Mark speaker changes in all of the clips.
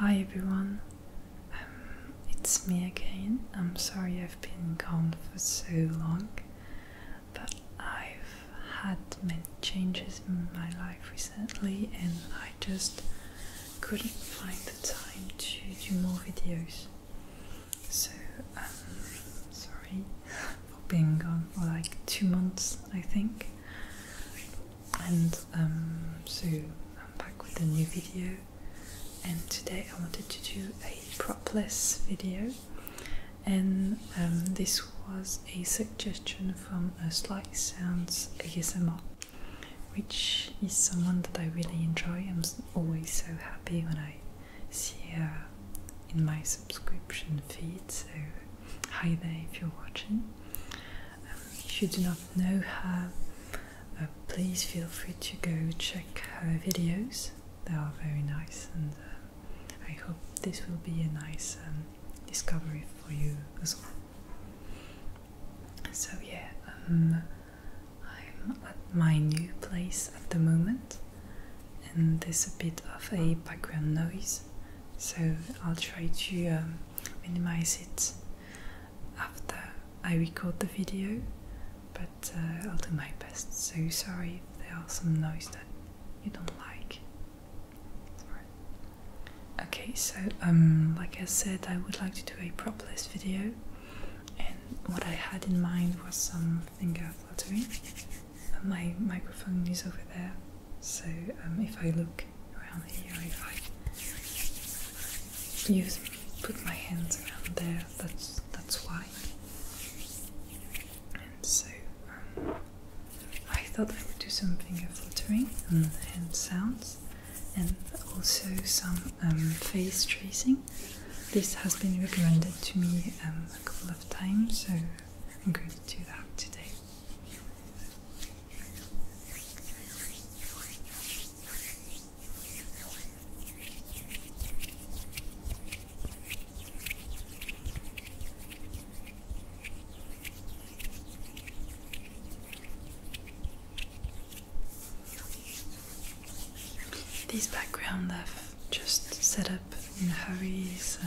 Speaker 1: Hi everyone, um, it's me again. I'm sorry I've been gone for so long, but I've had many changes in my life recently and I just couldn't find the time to do more videos. So, um, sorry for being gone for like two months, I think. And um, so I'm back with a new video. And today I wanted to do a propless video, and um, this was a suggestion from Slice Sounds ASMR which is someone that I really enjoy. I'm always so happy when I see her in my subscription feed. So, hi there if you're watching. Um, if you do not know her, uh, please feel free to go check her videos. They are very nice, and um, I hope this will be a nice um, discovery for you as well. So yeah, I'm at my new place at the moment, and there's a bit of a background noise, so I'll try to um, minimize it after I record the video, but uh, I'll do my best. So sorry if there are some noise that you don't like. Okay, so um, like I said, I would like to do a prop list video and what I had in mind was some finger fluttering. My microphone is over there, so um, if I look around here, if I use put my hands around there, that's that's why. And so um, I thought I would do some finger fluttering and sounds, and also some um, face tracing. This has been recommended to me um, a couple of times, so I'm going to do that today. These background I've just set up in a hurry so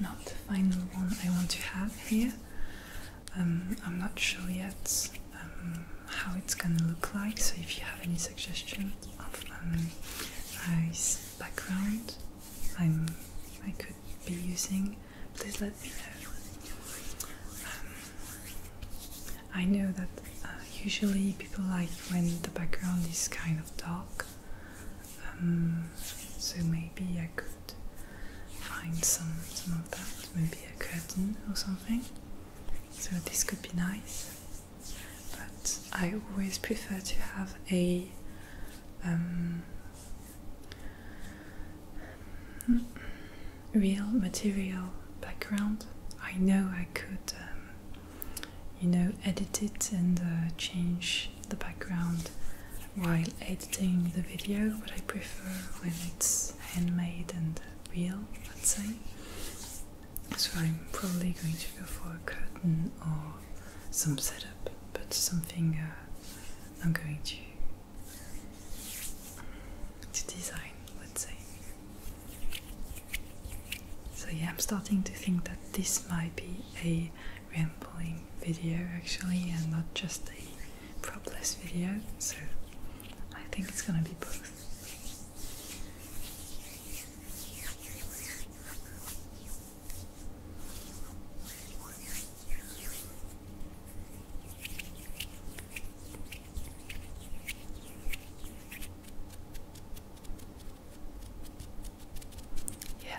Speaker 1: not the final one I want to have here. Um, I'm not sure yet um, how it's gonna look like, so if you have any suggestions of um, nice background I'm, I could be using, please let me know. Um, I know that uh, usually people like when the background is kind of dark, um, so maybe I could find some some of that, maybe a curtain or something. So this could be nice, but I always prefer to have a. Um, real material background, I know I could, um, you know, edit it and uh, change the background while editing the video, but I prefer when it's handmade and real, let's say. So I'm probably going to go for a curtain or some setup, but something uh, I'm going to to design, let's say. So, yeah, I'm starting to think that this might be a rambling video actually, and not just a propless video. So, I think it's gonna be both.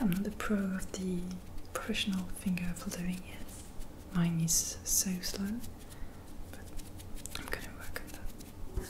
Speaker 1: I'm the pro of the professional finger doing it. Mine is so slow, but I'm gonna work on that.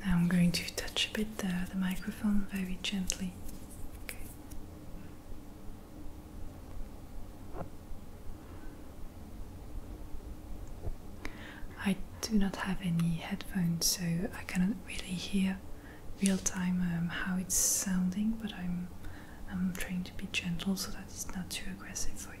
Speaker 1: Now I'm going to touch a bit the, microphone very gently. Okay. I do not have any headphones, so I cannot really hear real time um, how it's sounding, but I'm I'm trying to be gentle so that it's not too aggressive for you.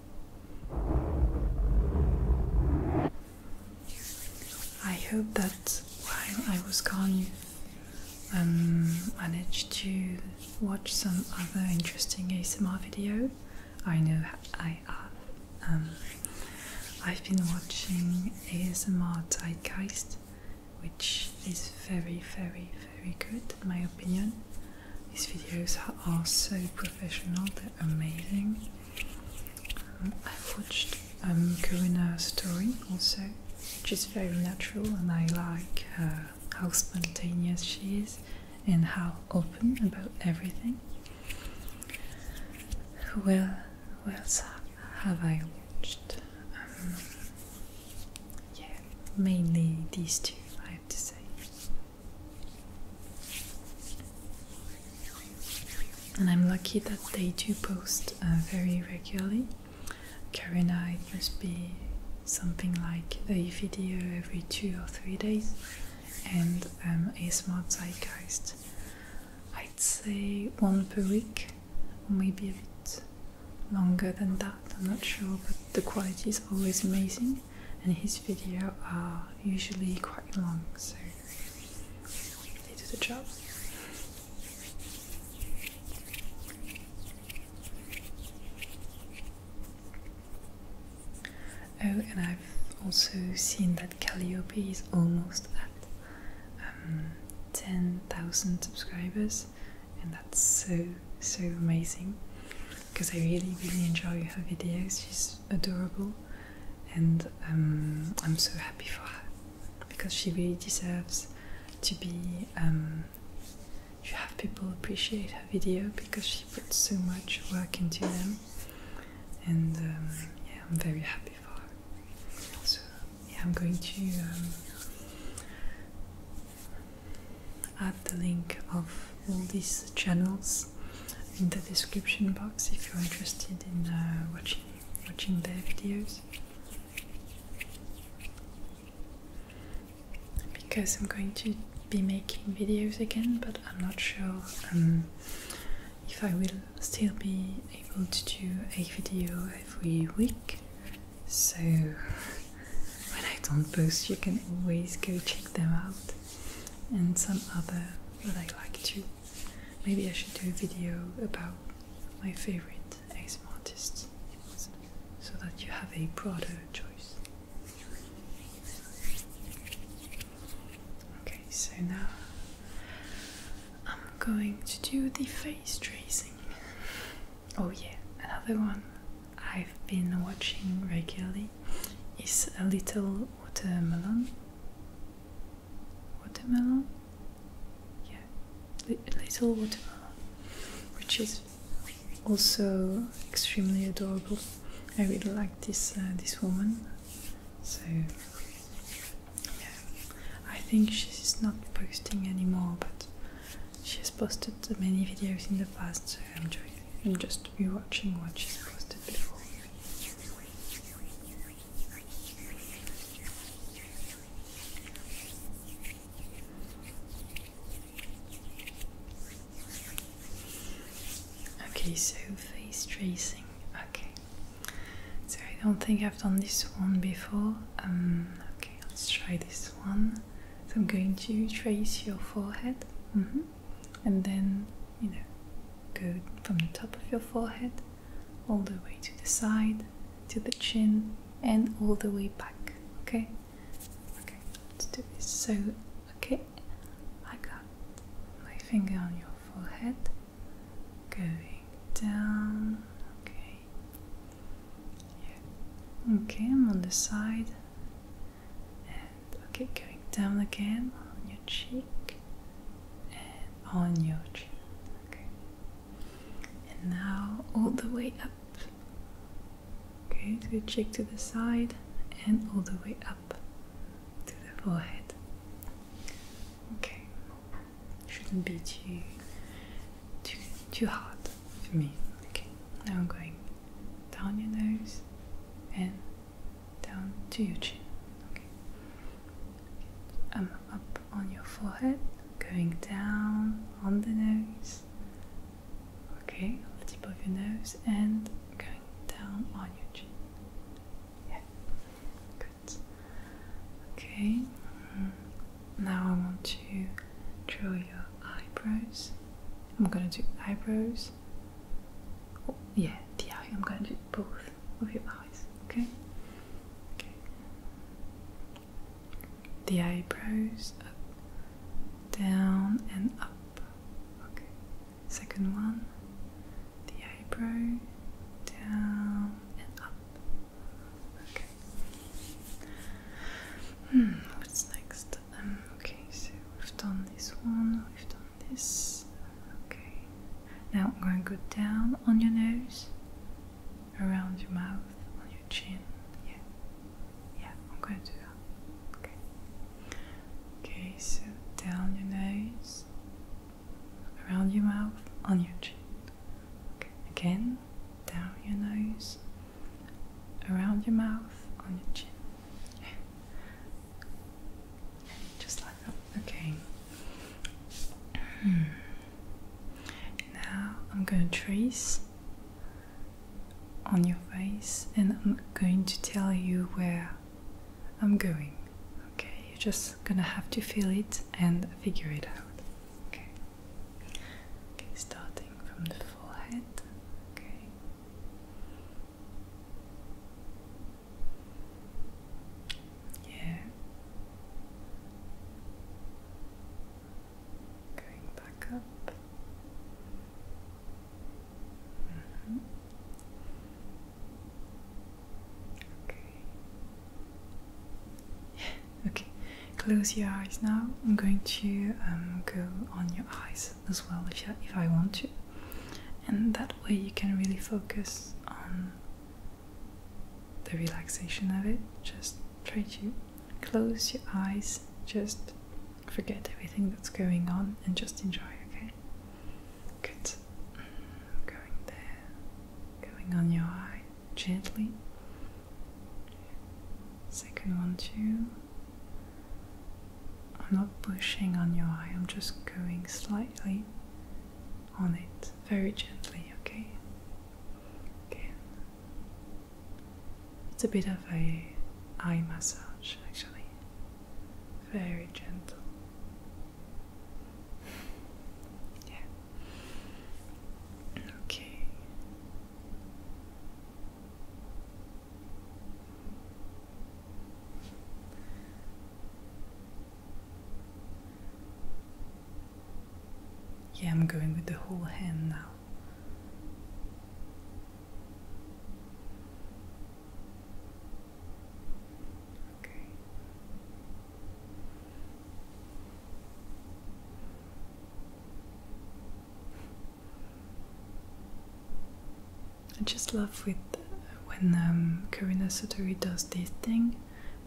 Speaker 1: I hope that while I was gone, you um, managed to watch some other interesting ASMR video. I know I have. Um, I've been watching ASMR Zeitgeist, which is very, very, very good in my opinion. These videos are so professional, they're amazing. Um, I've watched um, Corina's story also, which is very natural, and I like how spontaneous she is and how open about everything. Well, what have I watched? Um, yeah, mainly these two, I have to say. And I'm lucky that they do post uh, very regularly. Karina, it must be something like a video every two or three days, and um, a smart zeitgeist. I'd say one per week, maybe a bit longer than that, I'm not sure, but the quality is always amazing and his video are usually quite long, so they do the job. Oh, and I've also seen that Calliope is almost at um, 10,000 subscribers, and that's so so amazing because I really really enjoy her videos. She's adorable, and um, I'm so happy for her because she really deserves to be. Um, you have people appreciate her video because she puts so much work into them, and um, yeah, I'm very happy for her. So yeah, I'm going to add the link of all these channels in the description box if you're interested in uh, watching watching their videos. Because I'm going to be making videos again, but I'm not sure um, if I will still be able to do a video every week. So when I don't post, you can always go check them out and some other that I like too. Maybe I should do a video about my favorite ASM artists so that you have a broader choice. Okay, so now I'm going to do the face tracing. Oh, yeah, another one I've been watching regularly is a little watermelon. Watermelon? Yeah, L little watermelon, which is also extremely adorable. I really like this uh, this woman. So yeah, I think she's not posting anymore, but she has posted many videos in the past. So I'm just just be watching what she's posted before. Okay, so face tracing. Okay, so I don't think I've done this one before. Um, okay, let's try this one. So I'm going to trace your forehead. Mm-hmm and then you know go from the top of your forehead all the way to the side to the chin and all the way back okay okay let's do this so okay I got my finger on your forehead going down okay okay I'm on the side okay, going down again on your cheek and on your chin. Okay, and now all the way up. Okay, to the cheek to the side and all the way up to the forehead. Okay, shouldn't be too too too hard for me. Okay, now I'm going down your nose and down to your chin. Okay. I'm um, up on your forehead, going down on the nose. Okay, the tip of your nose and going down on your chin. Yeah, good. Okay, mm-hmm. now I want to draw your eyebrows. I'm gonna do eyebrows yeah, the eye. I'm going to do both of your eyes, okay? Okay. The eyebrows up, down, and up. Okay. Second one. The eyebrow down and up. Okay. Hmm, what's next? Um, okay, so we've done this one, we've done this. Okay, now I'm going to go down on your nose, around your mouth, on your chin. Yeah, yeah, I'm going to do that. Okay, okay, so down your nose, around your mouth, on your chin. Okay, again, down your nose, around your mouth, on your chin. Just like that. Okay. Hmm. Now I'm going to trace on your face and I'm going to tell you where I'm going. Okay, you're just gonna have to feel it and figure it out. Okay. Okay, starting from the forehead. Okay. Yeah. Going back up. Okay. okay. Close your eyes now. I'm going to um, go on your eyes as well if, I want to. And that way you can really focus on the relaxation of it. Just try to close your eyes, just forget everything that's going on and just enjoy, okay? Good. Going there, going on your eye gently. Second one, too. I'm not pushing on your eye, I'm just going slightly on it, very gently, okay? Again. It's a bit of a eye massage actually. Very gentle. Yeah. Okay. Yeah, I'm going with the whole hand now. Okay. I just love with when um, Karina Satori does this thing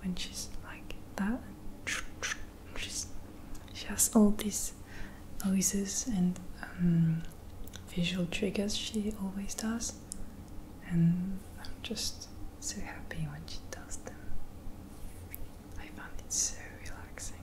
Speaker 1: when she's like that. She's, she has all these noises and um, visual triggers she always does, and I'm just so happy when she does them. I found it so relaxing.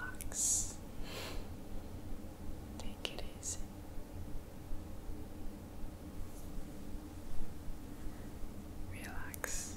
Speaker 1: Relax. Take it easy. Relax.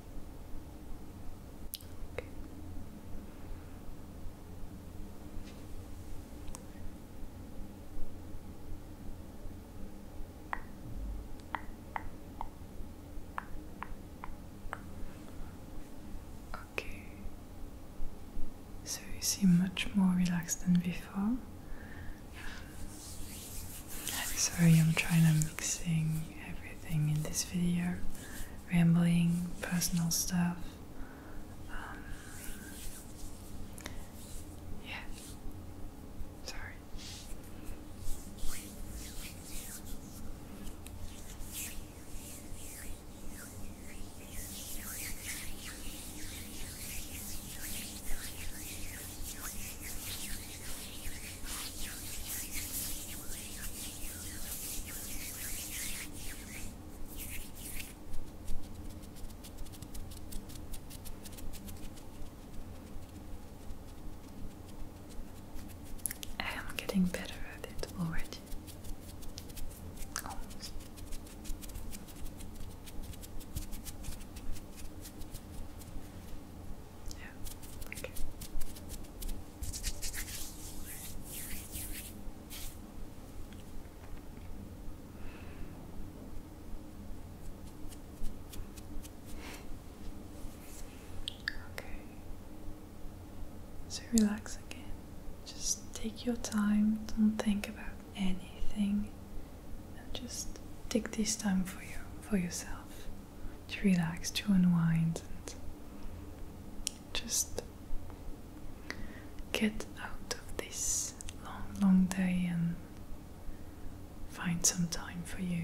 Speaker 1: Okay. So you seem much more relaxed than before. sorry, I'm trying to mixing everything in this video rambling, personal stuff. Um, yeah. Sorry. I am getting better at it already. Almost. Yeah, okay. Okay. So relax again. Just take your time, don't think about anything. And just take this time for you for yourself to relax, to unwind, and just get out of this long, long day and find some time for you.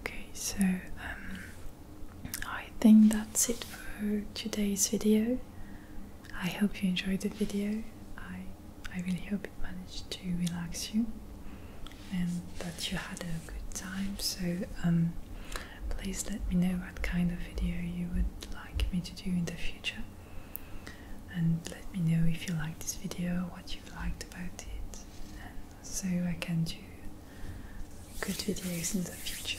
Speaker 1: Okay, so um, I think that's it for today's video. I hope you enjoyed the video. I, I really hope it managed to relax you and that you had a good time. So um, please let me know what kind of video you would like me to do in the future. And let me know if you like this video, what you've liked about it, so I can do good videos in the future.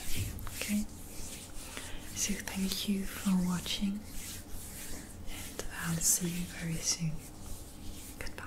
Speaker 1: Okay? So thank you for watching and I'll see you very soon. Goodbye.